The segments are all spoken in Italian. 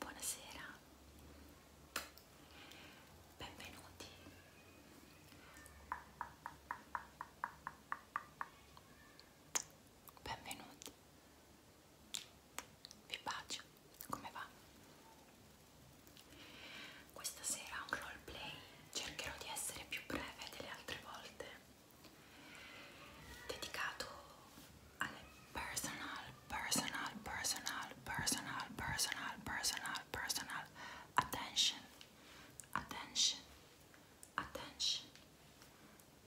Buonasera, benvenuti. Benvenuti. Vi bacio, come va? Questa sera un roleplay, cercherò di essere più breve delle altre volte dedicato alle personal, personal, personal, personal, personal, personal, personal attention, attention, attention,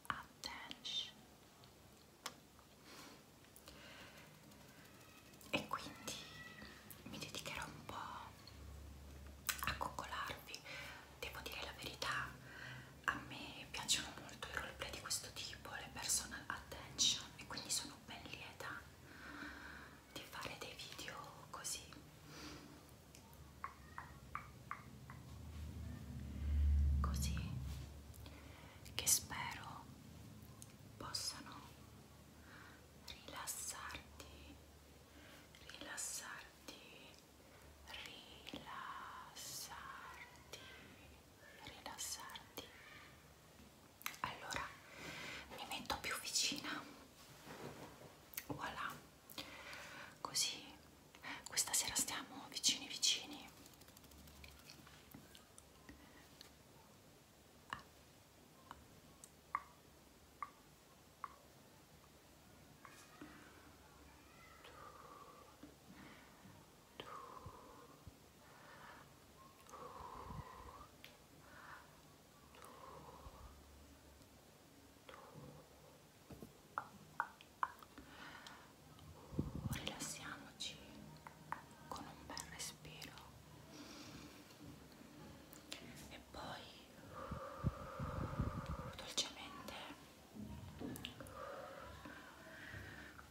attention. E quindi mi dedicherò un po' a coccolarvi devo dire la verità a me piacciono molto i roleplay di questo tipo le personal attention e quindi sono ben lieta di fare dei video così così che spero possano rilassarti rilassarti rilassarti, rilassarti. Allora mi metto più vicina, voilà, così questa sera stiamo vicini vicini. Ah. Rilassiamoci con un bel respiro e poi dolcemente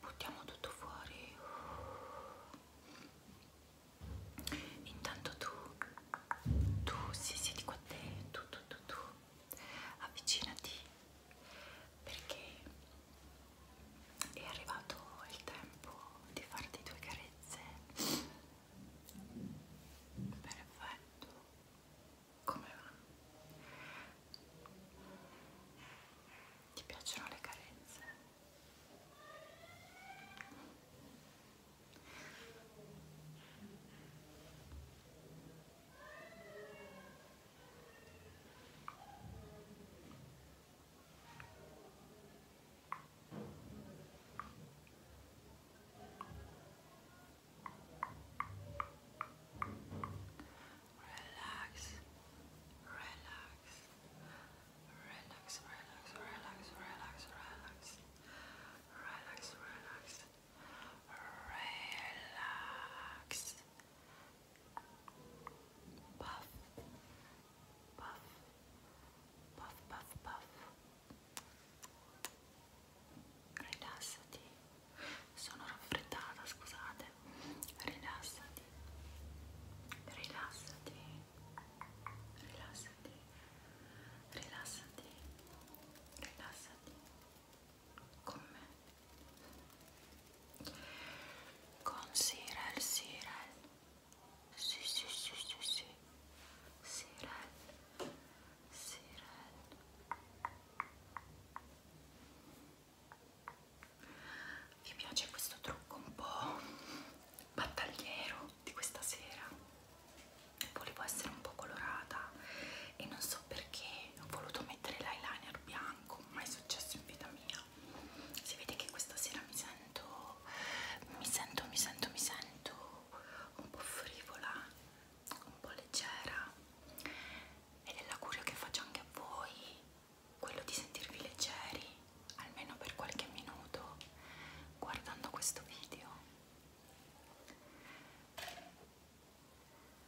buttiamo tutto fuori intanto tu tu si sì, siedi qua a te tu tu tu tu avvicinati perché è arrivato il tempo di farti due carezze perfetto come va? Ti piacciono le carenze? Relax, relax, relax, relax, relax, relax, relax, relax, relax, relax. Puff, puff, puff, puff, puff. rilassati sono raffreddata scusate rilassati rilassati rilassati rilassati rilassati con me con Sirel Sirel sì sì sì sì sì Sirel vi piace questo trucco un po' battagliero di questa sera? Volevo essere un po' colorata e non so perché ho voluto mettere l'eyeliner bianco, mai successo in vita mia. Si vede che questa sera mi sento, mi sento, mi sento, mi sento un po' frivola un po' leggera ed è l'augurio che faccio anche a voi quello di sentirvi leggeri almeno per qualche minuto guardando questo video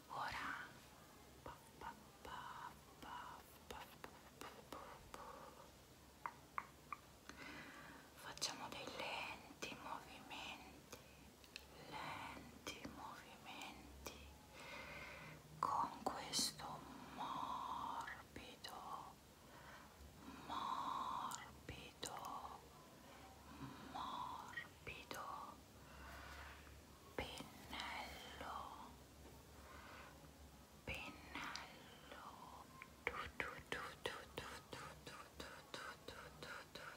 ora facciamo dei lenti movimenti lenti movimenti con questo morbido morbido morbido pennello pennello tu tu tu tu tu tu tu tu tu tu tu tu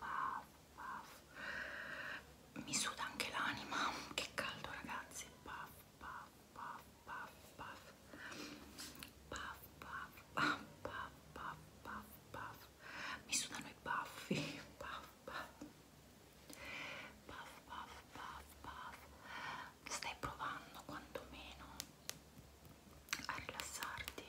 Puff, puff. Mi suda anche l'anima. Che caldo, ragazzi. Puff, puff, puff, puff, puff. Puff, puff, puff, puff, puff, puff, puff. Mi sudano i baffi. Puff, puff. Puff, puff, puff, puff. Stai provando quantomeno a rilassarti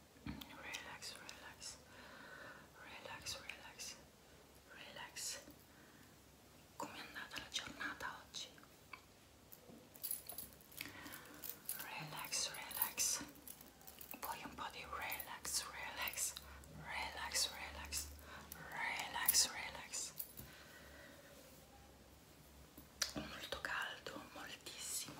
relax, relax, relax, relax, relax. Come è andata la giornata oggi? Relax, relax. Voglio un po' di relax, relax, relax, relax, relax, relax. Molto caldo, moltissimo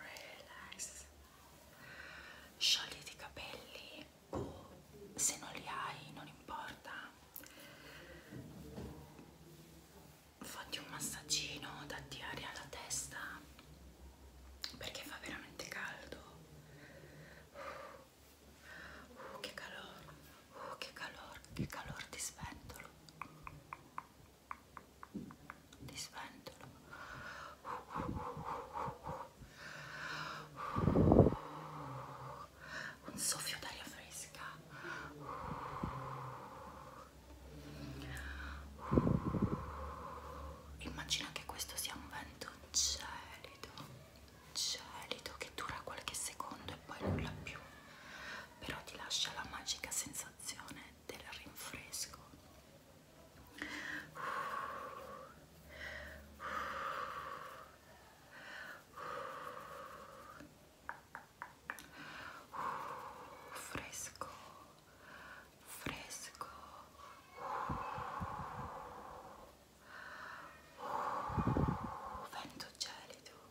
relax sciogliti i capelli o se non li hai non importa fatti un massaggino datti aria alla testa perché fa veramente caldo uh, uh, che calore uh, che calore che calore ti sventolo ti sventolo un soffio d'aria fresca immagina che questo sia un vento gelido gelido che dura qualche secondo e poi nulla più però ti lascia la magica sensazione del rinfresco fresco fresco vento gelido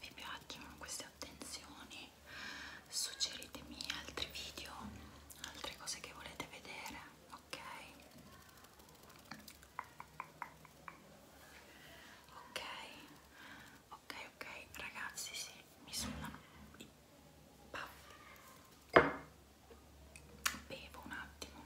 vi piacciono queste attenzioni suggeritemi altri video altre cose che volete vedere ok ok ok ok ragazzi sì mi suonano i paffi bevo un attimo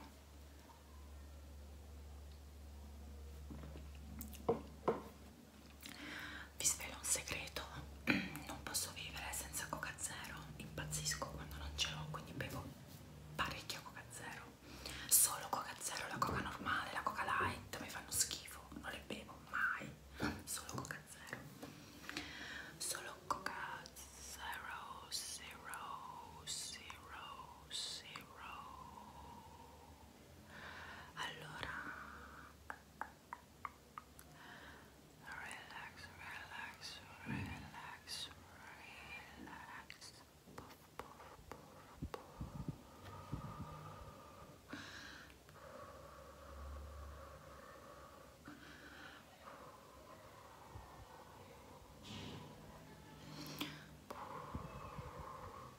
vi svelo un segreto, non posso vivere senza coca zero, impazzisco quando non ce l'ho, quindi bevo parecchia coca zero, solo coca zero, la coca normale, la coca light mi fanno schifo, non le bevo mai, solo coca zero, solo coca zero, zero, zero, zero. allora relax relax relax relax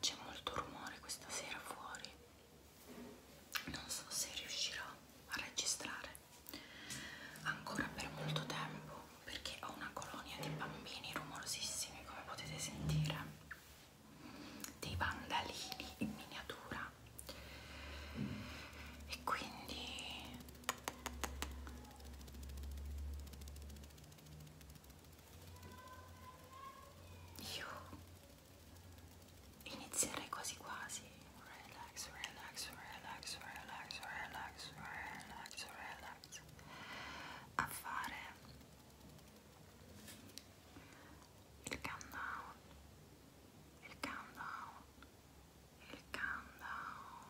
C'è molto rumore questa sera fuori. Non so se riuscirò a registrare ancora per molto tempo perché ho una colonia di bambini rumorosissimi come potete sentire dei vandalini in miniatura e quindi io inizierei quasi quasi relax relax relax relax relax relax relax a fare il countdown il countdown He'll calm down.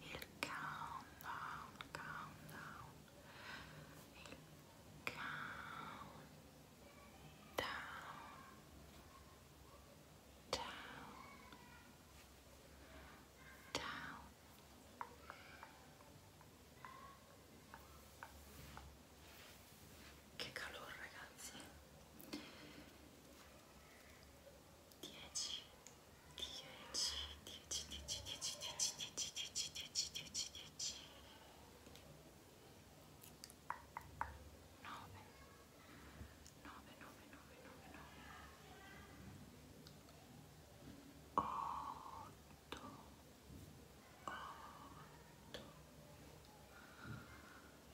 he down. Calm down. he down. Down. Down. Down. Che calore ragazzi 10 10 10 10 10 10 10 10 10 10 10 9 9 9 9 9 9 8 8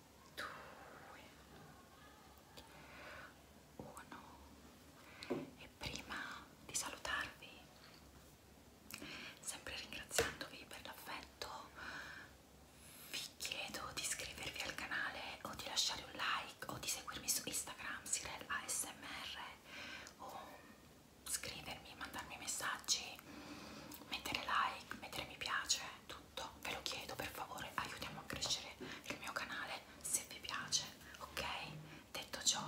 2 1 e prima di salutarvi sempre ringraziandovi per l'affetto vi chiedo di iscrivervi al canale o di lasciare un like o di seguirmi su Instagram Sirel ASMR o scrivermi, mandarmi messaggi, mettere like, mettere mi piace è tutto, ve lo chiedo per favore, aiutiamo a crescere il mio canale se vi piace, ok? Detto ciò,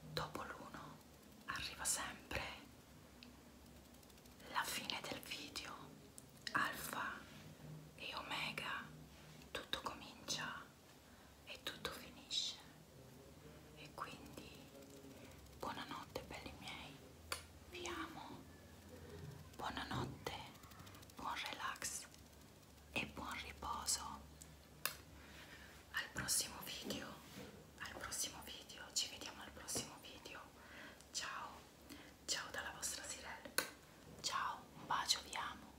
dopo l'uno arriva sempre la fine del video, alfa e omega, tutto comincia e tutto finisce. E quindi buonanotte belli miei vi amo, buonanotte, buon relax e buon riposo. Al prossimo video, al prossimo video, ci vediamo al prossimo video. Ciao, ciao dalla vostra Sirel, ciao, un bacio, vi amo.